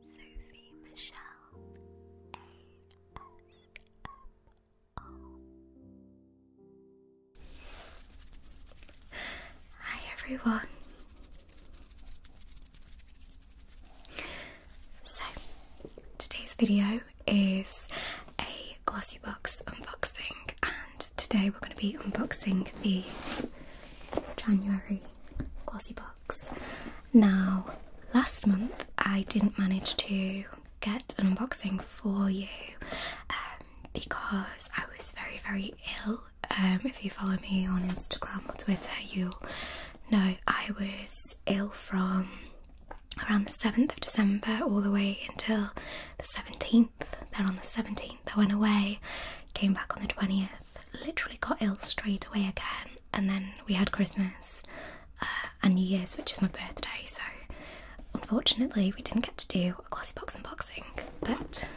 Sophie Michelle ASMR. Hi everyone. So today's video is a glossy box unboxing and today we're going to be unboxing the January glossy box. Now, last month I didn't manage to get an unboxing for you um, because I was very, very ill. Um, if you follow me on Instagram or Twitter, you'll know I was ill from around the 7th of December all the way until the 17th. Then on the 17th, I went away, came back on the 20th, literally got ill straight away again, and then we had Christmas uh, and New Year's, which is my birthday. So unfortunately, we didn't get to do a glossy box unboxing, but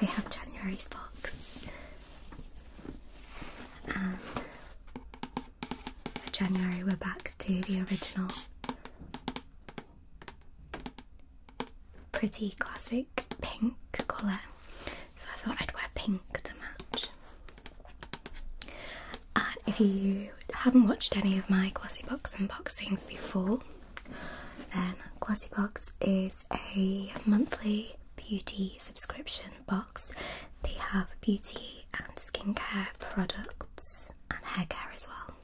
we have January's box. And January, we're back to the original pretty classic pink colour, so I thought I'd wear pink to match. if you haven't watched any of my Glossy Box unboxings before, then Glossy Box is a monthly beauty subscription box. They have beauty and skincare products and hair care as well.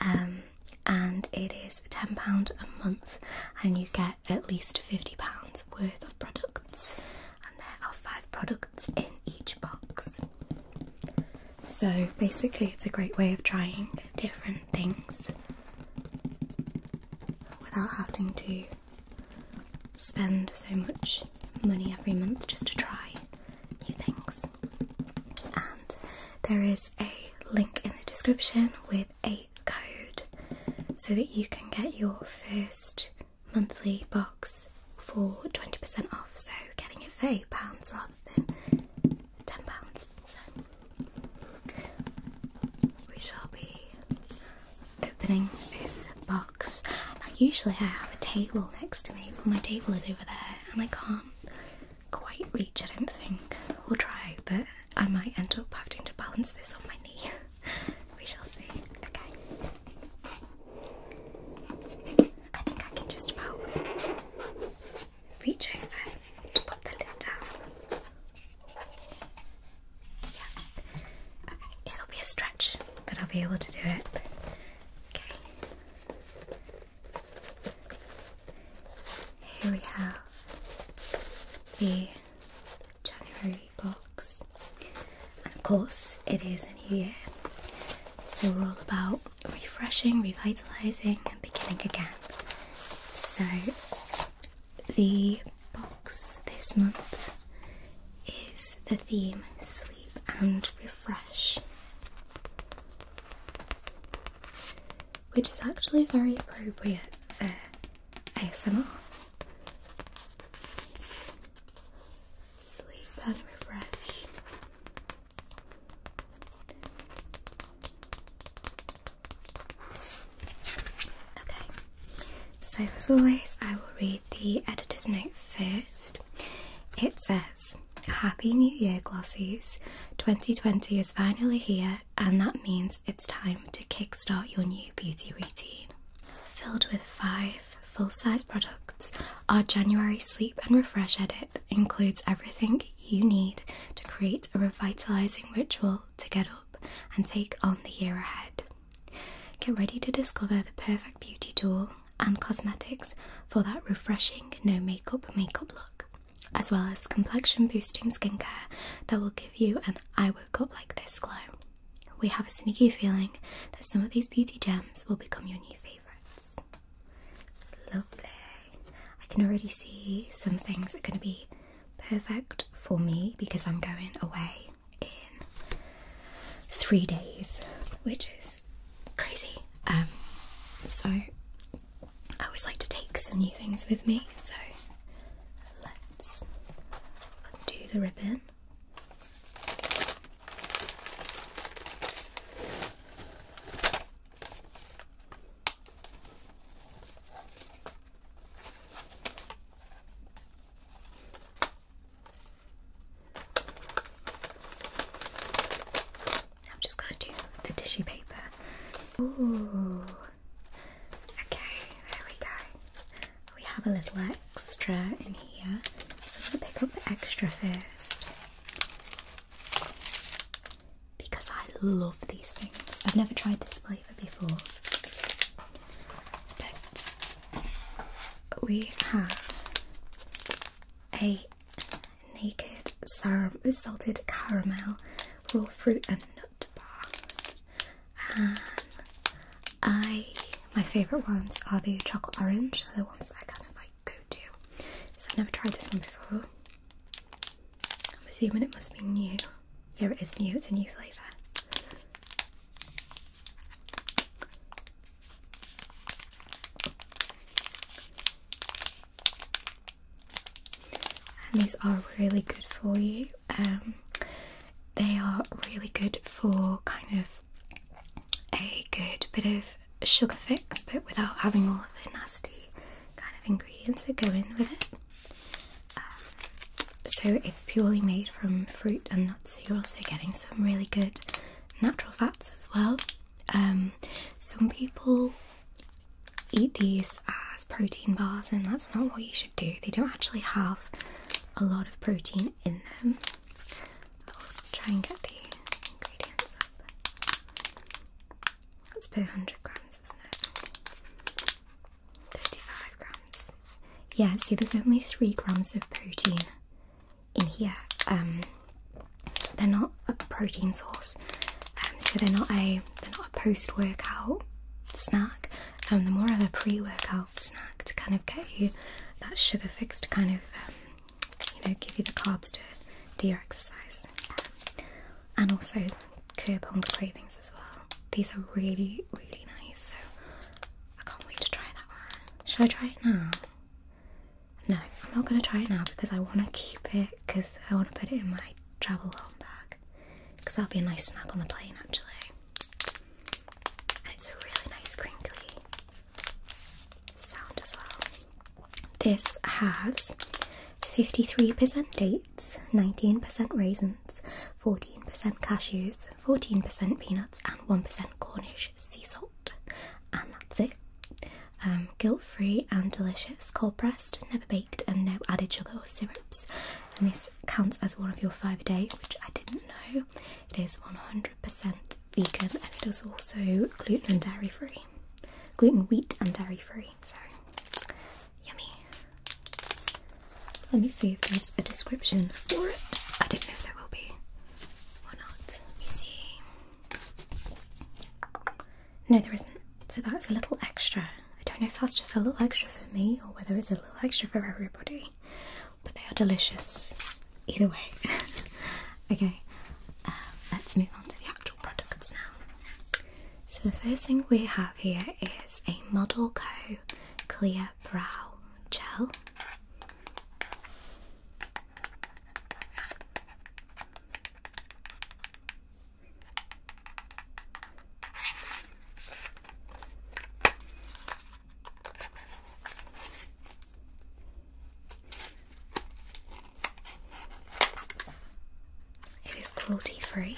Um, and it is £10 a month, and you get at least £50 worth of products, and there are five products in each box. So basically, it's a great way of trying different things without having to spend so much money every month just to try new things. And there is a link in the description with 8 code so that you can get your first monthly box for 20% off. So getting it for £8 rather than £10. So we shall be opening this box. usually I have a table next to me, but my table is over there and I can't quite reach, I don't think. We'll try, but I might end up having to balance this on my knee. we shall see. Okay. I think I can just about reach over to put the lid down. Yeah. Okay, it'll be a stretch, but I'll be able to do it. Okay. Here we have the January box. And of course, it is a new year, so we're all about refreshing, revitalizing, and beginning again. So, the box this month is the theme sleep and refresh, which is actually very appropriate. Uh, ASMR. So, sleep and refresh. Okay, so as always, I will read the editor's note first. It says, Happy New Year, Glossies. 2020 is finally here, and that means it's time to kickstart your new beauty routine. Filled with five full size products, our January Sleep and Refresh Edit includes everything you need to create a revitalizing ritual to get up and take on the year ahead. Get ready to discover the perfect beauty tool and cosmetics for that refreshing no makeup makeup look, as well as complexion boosting skincare that will give you an I woke up like this glow. We have a sneaky feeling that some of these beauty gems will become your new favourites. Lovely. I can already see some things are going to be perfect for me because I'm going away in three days, which is crazy. Um, so I always like to take some new things with me, so let's undo the ribbon. I'm just going to do the tissue paper. Okay, there we go. We have a little extra in here, so I'm going to pick up the extra first. Because I love these things. I've never tried this flavour before. But we have a naked salted caramel raw fruit and nut bar. I my favourite ones are the chocolate orange, they're the ones that I kind of like go to. So I've never tried this one before. I'm assuming it must be new. Yeah, it is new, it's a new flavour and these are really good for you. Um, they are really good for kind of a good bit of sugar fix, but without having all of the nasty kind of ingredients that go in with it. Um, so it's purely made from fruit and nuts, so you're also getting some really good natural fats as well. Um, some people eat these as protein bars, and that's not what you should do. They don't actually have a lot of protein in them. I'll try and get the ingredients up. That's per 100 grams, isn't it? 35 grams. Yeah, see, there's only 3 grams of protein in here. Um, they're not a protein source, um, so they're not a they're not a post workout snack. Um, they're more of a pre workout snack to kind of get you that sugar fix to kind of um, you know give you the carbs to do your exercise, and also curb hunger cravings as well. These are really really nice. So I can't wait to try that one. Should I try it now? No, I'm not gonna try it now because I want to keep it because I want to put it in my travel home back, because that'll be a nice snack on the plane actually. it's a really nice crinkly sound as well. This has 53% dates, 19% raisins, 14% cashews, 14% peanuts, and 1% Cornish sea salt. And that's it. Um, Guilt free and delicious, cold pressed, never baked, and no added sugar or syrup and this counts as one of your five a day which I didn't know it is 100% vegan and it is also gluten and dairy free gluten wheat and dairy free so yummy let me see if there's a description for it I don't know if there will be or not let me see no, there isn't. So that's a little extra. I don't know if that's just a little extra for me or whether it's a little extra for everybody, but they are delicious either way. okay, um, let's move on to the actual products now. So the first thing we have here is a Model Co Clear Brow Gel. It is cruelty free.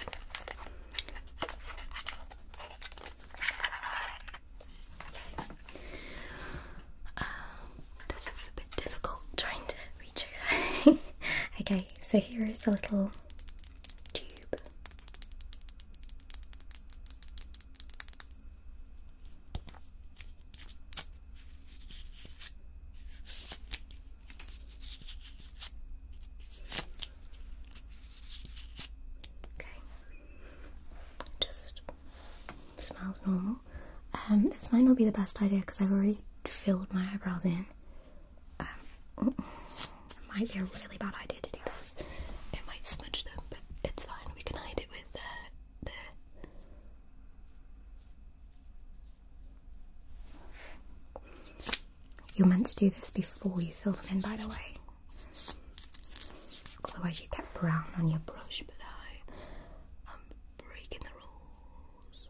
Um, this is a bit difficult trying to reach over. okay, so here is the little tube. Okay, just smells normal. Um, this might not be the best idea because I've already filled my eyebrows in. Um, might be a really bad idea to do this. It might smudge them, but it's fine. We can hide it with uh, the. You're meant to do this before you fill them in, by the way. Otherwise, you get brown on your brush, but I am breaking the rules.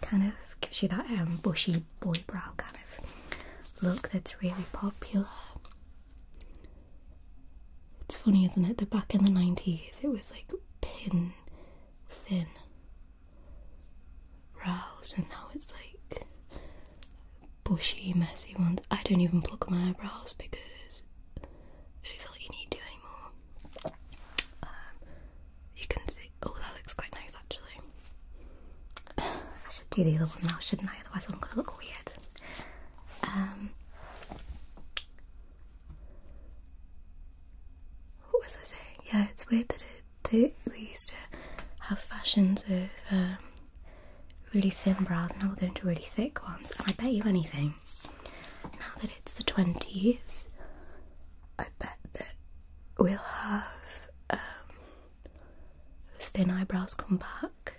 Kind of gives you that um, bushy boy brow kind of look that's really popular. It's funny, isn't it? That back in the 90s it was like pin thin brows, and now it's like bushy, messy ones. I don't even pluck my eyebrows because I don't feel like you need to anymore. Um, you can see. Oh, that looks quite nice actually. I should do the other one now, shouldn't I? Otherwise, I'm gonna look weird. Um, what was I saying? Yeah, it's weird that, we used to have fashions of um, really thin brows, now we're going to really thick ones. And I bet you anything now that it's the 20s, I bet that we'll have um, thin eyebrows come back.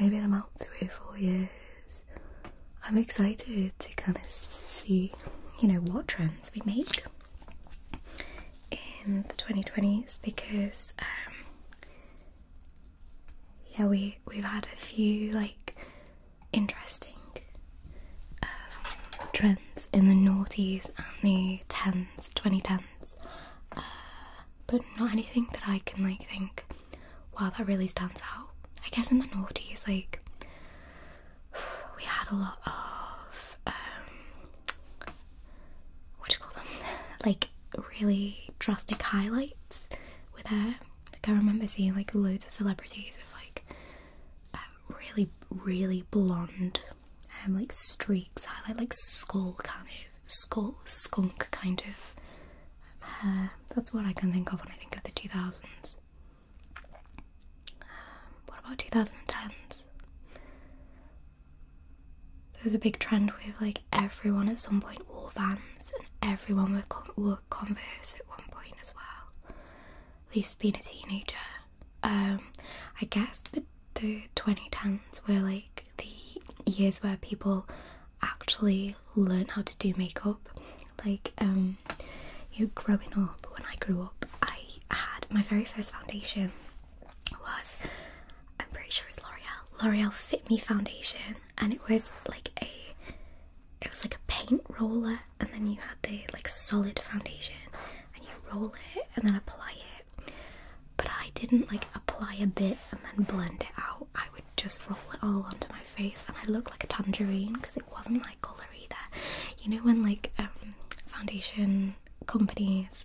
Maybe in about three or four years. I'm excited to kind of see, you know, what trends we make in the 2020s because um, yeah, we we've had a few like interesting uh, trends in the '90s and the tens, twenty tens, uh, but not anything that I can like think. Wow, that really stands out. I guess in the '90s, like we had a lot of um, what do you call them? like really drastic highlights with hair. Like I remember seeing like loads of celebrities with like um, really, really blonde, um, like streaks, highlight, like skull kind of skull skunk kind of um, hair. That's what I can think of when I think of the two thousands. Um, what about two thousand and tens? There was a big trend with like everyone at some point wore Vans, everyone would, converse at one point as well. At least being a teenager. Um, I guess the the 2010s were like the years where people actually learn how to do makeup. Like, um, you growing up, when I grew up, I had my very first foundation was, I'm pretty sure it's L'Oreal, L'Oreal Fit Me Foundation and it was like a it was like a paint roller and then you had the like solid foundation and you roll it and then apply it but I didn't like apply a bit and then blend it out I would just roll it all onto my face and I looked like a tangerine because it wasn't like colour either you know when like um, foundation companies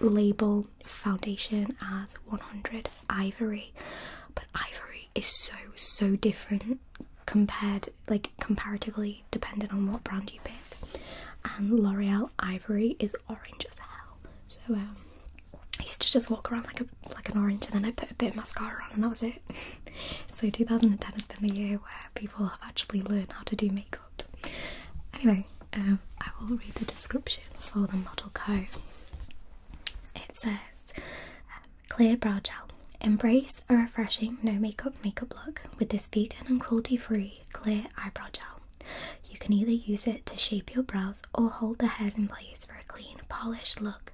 label foundation as 100 ivory but ivory is so so different compared like comparatively depending on what brand you pick and l'oreal ivory is orange as hell so um i used to just walk around like a like an orange and then i put a bit of mascara on and that was it so 2010 has been the year where people have actually learned how to do makeup anyway um, i will read the description for the model co It's a. Um, clear Brow Gel. Embrace a refreshing no makeup makeup look with this vegan and cruelty free clear eyebrow gel. You can either use it to shape your brows or hold the hairs in place for a clean, polished look,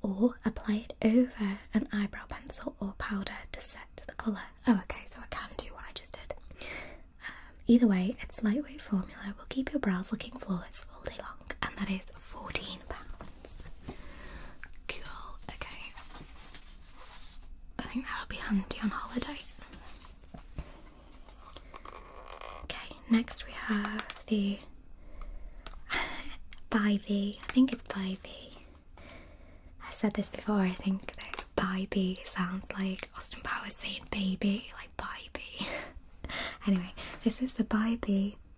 or apply it over an eyebrow pencil or powder to set the colour. Oh, okay, so I can do what I just did. Um, either way, its lightweight formula will keep your brows looking flawless all day long and that is £14. Cool, okay. I think that'll be handy on holiday. Okay, next we have the Bybee. I think it's Bybee. I've said this before, I think that Bybee sounds like Austin Powers saying baby, like Bybee. anyway, this is the By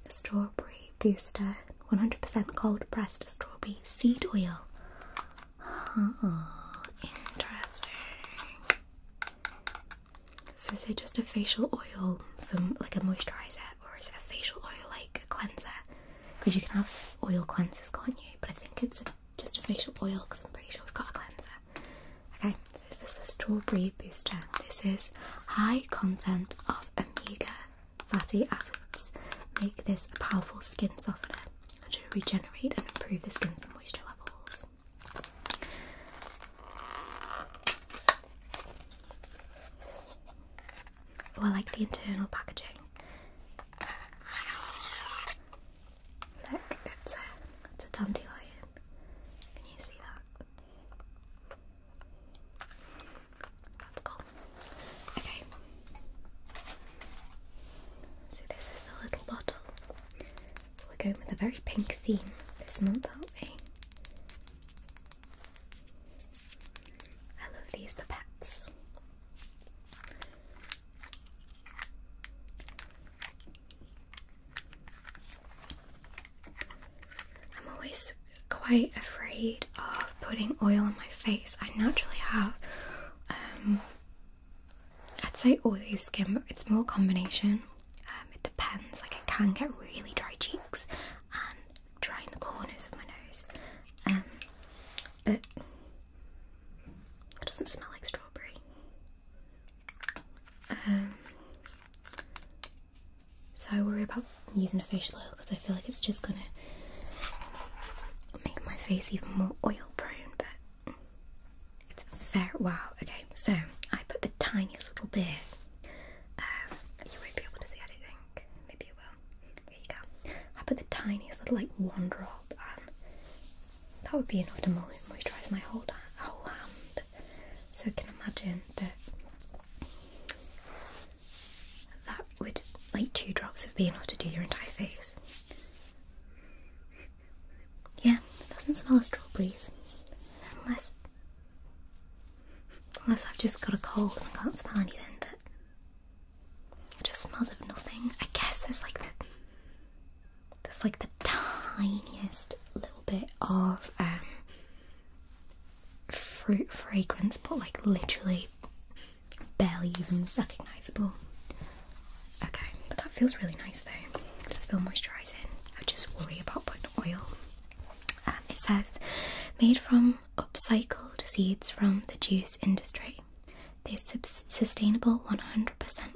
Strawberry Booster 100% cold pressed strawberry seed oil. Oh, interesting. So is it just a facial oil from like a moisturizer or is it a facial oil like a cleanser? Because you can have oil cleansers, can't you? But I think it's just a facial oil because I'm pretty sure we've got a cleanser. Okay, so this is the strawberry booster. This is high content of omega fatty acids. Make this a powerful skin softener to regenerate and improve the skin's moisture levels. Oh, I like the internal packaging. Look, it's a, it's a dandelion. Can you see that? That's cool. Okay. So this is a little bottle. We're going with a very pink theme this month, aren't we? I love these pipettes. I'm always quite afraid of putting oil on my face. I naturally have, um, I'd say oily skin, but it's more combination. Um, it depends. Like I can get really dry cheeks and dry in the corners of my nose. Um, but it doesn't smell like strawberry. Um, so I worry about using a facial oil because I feel like it's just gonna make my face even more oil prone, but it's fair. Wow, okay, so I put the tiniest little bit. Um, you won't be able to see, I Maybe you will. There you go. I put the tiniest little, like, one drop, and um, that would be enough to moisturize my whole, whole hand. So I can imagine that that would, like, two drops of be enough to do your entire face. Yeah, it doesn't smell of strawberries. Unless, unless I've just got a cold and I can't smell anything, but it just smells of nothing. I guess there's like the there's like the tiniest little bit of um, fruit fragrance, but like literally barely even recognisable. Okay, but that feels really nice though. does feel moisturising. I just worry about putting oil. Um, it says, made from upcycled seeds from the juice industry. This sustainable 100%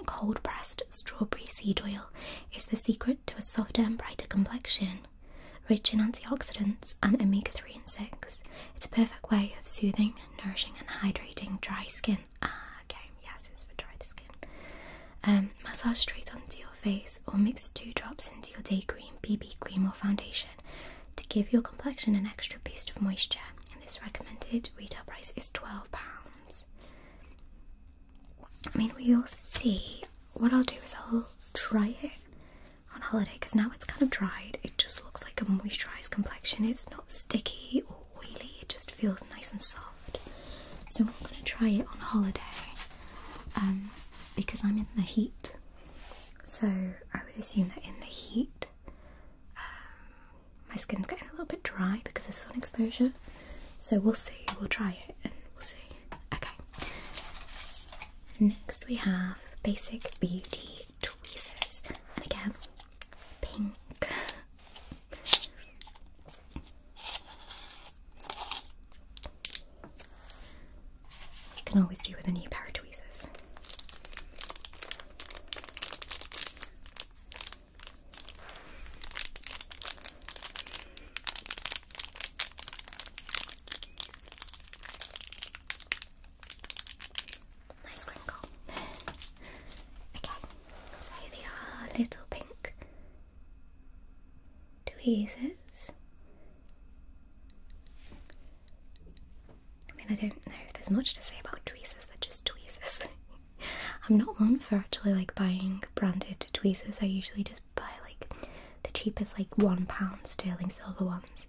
cold pressed strawberry seed oil is the secret to a softer and brighter complexion. Rich in antioxidants and omega 3 and 6, it's a perfect way of soothing, nourishing, and hydrating dry skin. Ah, okay, yes, it's for dry skin. Um, massage straight onto your face or mix two drops into your day cream, BB cream, or foundation to give your complexion an extra boost of moisture. And this recommended retail price is £12. I mean, we will see. What I'll do is I'll try it on holiday because now it's kind of dried. It just looks like a moisturized complexion. It's not sticky or oily. It just feels nice and soft. So I'm gonna try it on holiday um, because I'm in the heat. So I would assume that in the heat, um, my skin's getting a little bit dry because of sun exposure. So we'll see, we'll try it and we'll see. Okay. Next we have Basic Beauty Tweezers. And again, pink. You can always do with any pair of tweezers. Nice wrinkle. okay, so they are little pink. Tweezers. I mean, I don't know if there's much to say about tweezers, they're just tweezers. I'm not one for actually like buying branded tweezers. I usually just buy like the cheapest like one pound sterling silver ones.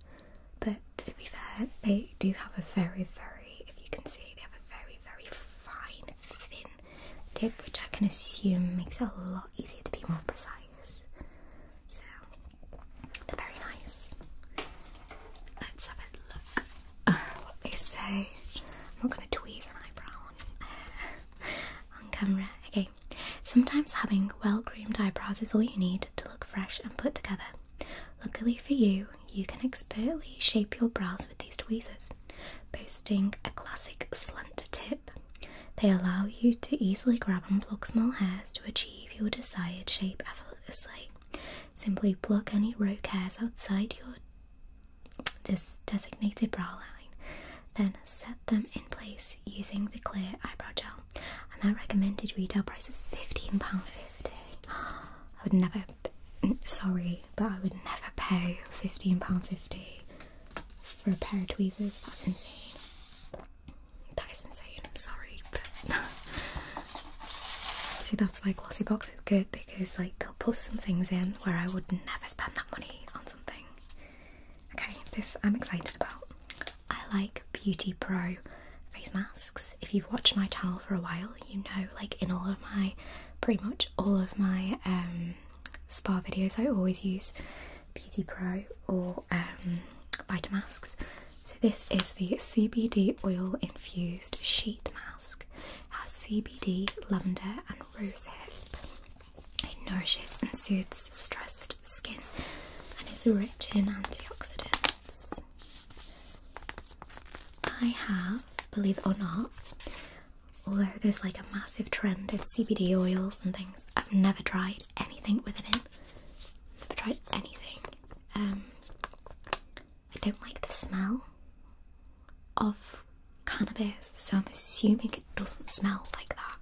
But to be fair, they do have a very, very if you can see they have a very, very fine thin tip, which I can assume makes it a lot easier to be more precise. So they're very nice. Let's have a look. Uh, what they say. I'm not gonna tweeze an eyebrow on camera. Okay, sometimes having well groomed eyebrows is all you need to look fresh and put together. Luckily for you, you can expertly shape your brows with these tweezers, boasting a classic slant tip. They allow you to easily grab and pluck small hairs to achieve your desired shape effortlessly. Simply pluck any rogue hairs outside your this designated brow line. Then set them in place using the clear eyebrow gel. And that recommended retail price is £15.50. I would never, sorry, but I would never pay £15.50 for a pair of tweezers. That's insane. That is insane. I'm sorry, but see, that's why Glossy Box is good because like they'll post some things in where I would never spend that money on something. Okay, this I'm excited about. I like Beauty Pro face masks. If you've watched my channel for a while, you know like in all of my pretty much all of my um spa videos I always use Beauty Pro or um masks. So this is the CBD oil infused sheet mask. has CBD, lavender and rose It nourishes and soothes stressed skin and is rich in antioxidants. I have, believe it or not, although there's like a massive trend of CBD oils and things, I've never tried anything with it in. Never tried anything. Um, I don't like the smell of cannabis, so I'm assuming it doesn't smell like that.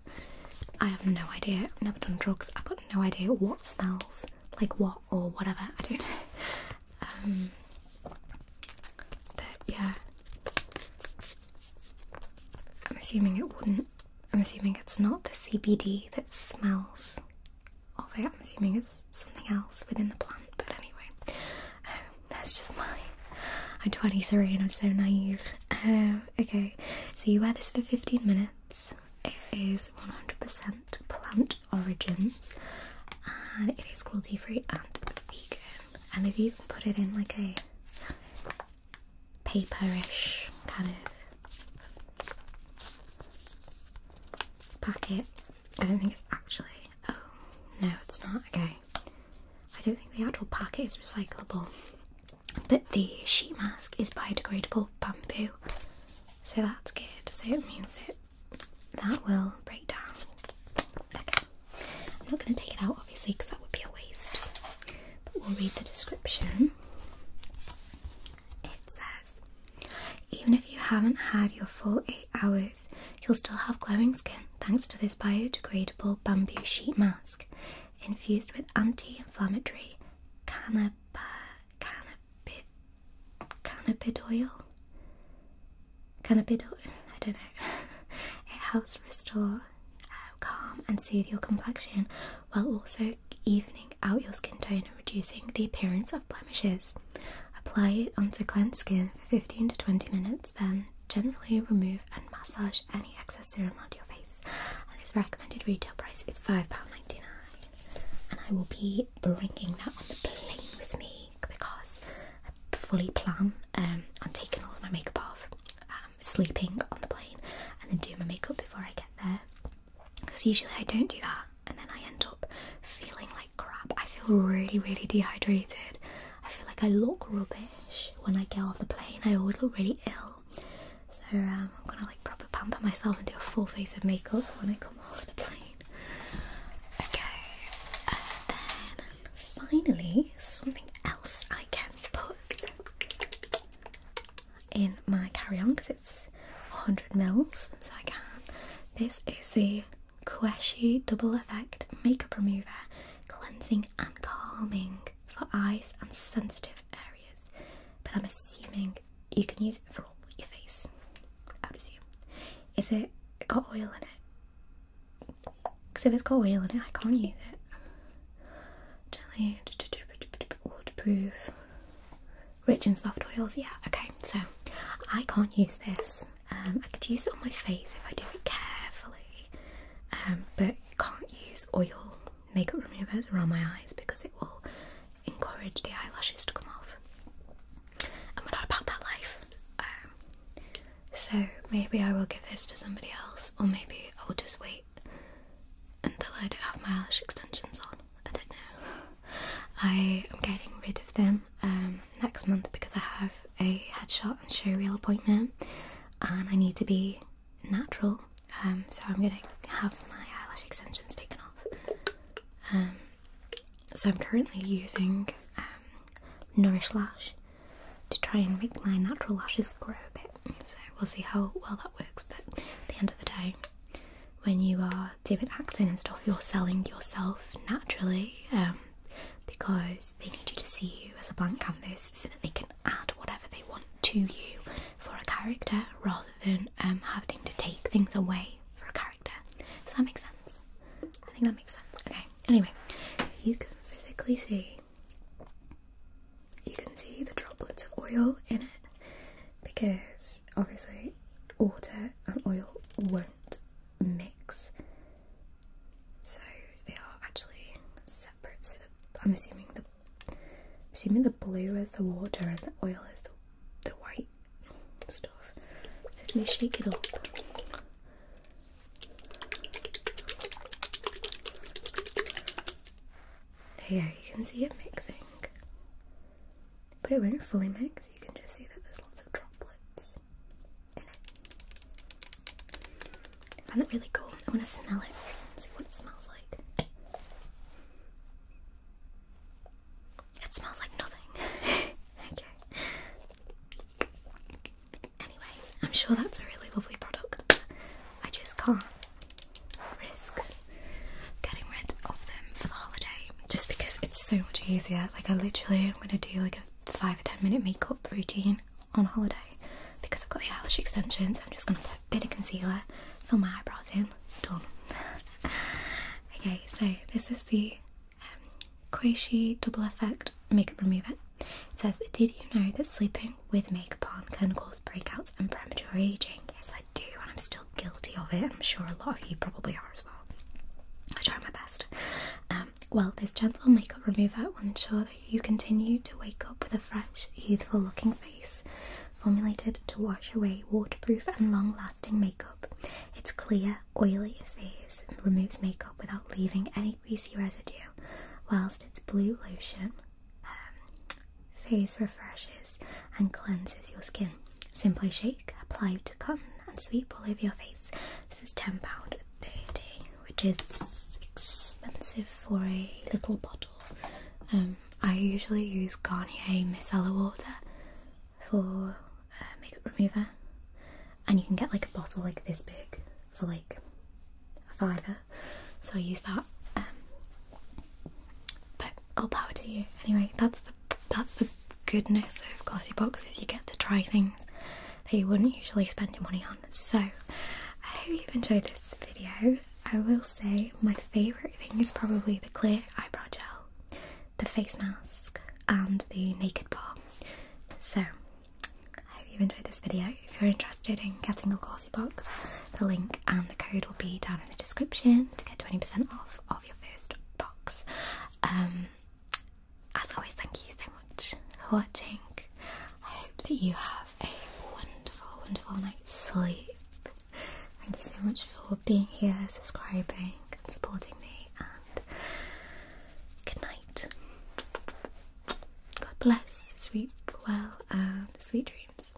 I have no idea, never done drugs, I've got no idea what smells like what or whatever, I don't know. Um, but yeah, I'm assuming it wouldn't, I'm assuming it's not the CBD that smells of it, I'm assuming it's something else within the plant, but anyway. Um, that's just my. I'm 23 and I'm so naive. Uh, okay, so you wear this for 15 minutes. It is 100% plant origins and it is cruelty free and vegan. And they've even put it in like a paperish kind of packet, I don't think it's actually. Oh, no, it's not. Okay. I don't think the actual packet is recyclable, but the sheet mask is biodegradable bamboo, so that's good. So it means it that will break down. Okay, I'm not going to take it out obviously because that would be a waste. But we'll read the description. It says, even if you haven't had your full eight hours, you'll still have glowing skin thanks to this biodegradable bamboo sheet mask infused with anti inflammatory cannabis cannabid oil. Cannabid oil? I don't know. it helps restore, uh, calm, and soothe your complexion while also evening out your skin tone and reducing the appearance of blemishes. Apply it onto cleansed skin for 15 to 20 minutes, then Generally remove and massage any excess serum onto your face. And its recommended retail price is £5.99. And I will be bringing that on the plane with me because I fully plan um, on taking all of my makeup off, um, sleeping on the plane, and then do my makeup before I get there. Because usually I don't do that and then I end up feeling like crap. I feel really, really dehydrated. I feel like I look rubbish when I get off the plane. I always look really ill. So um, I'm gonna like proper pamper myself and do a full face of makeup when I come off the plane. Okay, and then finally something else I can put in my carry-on because it's 100 mils, so I can. This is the Queshi Double Effect Makeup Remover, cleansing and calming for eyes and sensitive areas. But I'm assuming you can use it for all your face. I would assume. Is it got oil in it? Because if it's got oil in it, I can't use it. Gently waterproof, rich and soft oils. Yeah, okay, so I can't use this. Um, I could use it on my face if I do it carefully, um, but can't use oil makeup removers around my eyes because it will encourage the eyelashes to come off. And we're not about that life. Um, so maybe I will give this to somebody else, or maybe I will just wait until I don't have my eyelash extensions on. I don't know. I am getting rid of them next month because I have a headshot and show reel appointment and I need to be natural. Um, so I'm gonna have my eyelash extensions taken off. Um, so I'm currently using um, Nourish Lash to try and make my natural lashes grow a bit. So we'll see how well that works. But at the end of the day, when you are doing acting and stuff, you're selling yourself naturally because they need you to see you as a blank canvas so that they can add whatever they want to you for a character rather than um, having to take things away for a character. Does that make sense? I think that makes sense. Okay, anyway, you can physically see. You can see the droplets of oil in it because obviously water and oil won't mix so they are actually separate. So I'm assuming the assuming the blue is the water and the oil is the the white stuff. So let me shake it up. There yeah, you can see it mixing. But it won't fully mix, you can just see that there's lots of droplets. I found it really cool. I want to smell it. See what it smells like. It smells like nothing. Anyway, I'm sure that's a really lovely product. I just can't risk getting rid of them for the holiday just because it's so much easier. Like, I literally am going to do like a five or ten minute makeup routine on holiday because I've got the eyelash extensions. I'm just gonna put a bit of concealer, fill my eyebrows in, done. okay, so this is the um, Double Effect Makeup Remover. It says, Did you know that sleeping with makeup on can cause breakouts and premature aging? Yes, I do, and I'm still guilty of it. I'm sure a lot of you probably are as well. I try my best. Um, well, this gentle makeup remover will ensure that you continue to wake up with a fresh, youthful looking face, formulated to wash away waterproof and long lasting makeup. It's clear, oily phase removes makeup without leaving any greasy residue, whilst its blue lotion um, phase refreshes and cleanses your skin. Simply shake, apply to cotton, and sweep all over your face. This is £10 130 which is expensive for a little bottle. Um, I usually use Garnier micellar water for uh, makeup remover and you can get like a bottle like this big for like a fiver so I use that um, but all power to you anyway that's the that's the goodness of glossy boxes you get to try things that you wouldn't usually spend your money on. So I hope you've enjoyed this video. I will say my favourite thing is probably the clear eyebrow gel, the face mask and the naked bar. So I hope you've enjoyed this video. If you're interested in getting the glossy box, the link and the code will be down in the description to get 20% off of your first box. Um, as always, thank you so much for watching. I hope that you have a wonderful, wonderful night's sleep. Thank you so much for being here, subscribing, and supporting me. And good night. God bless, sleep well, and sweet dreams.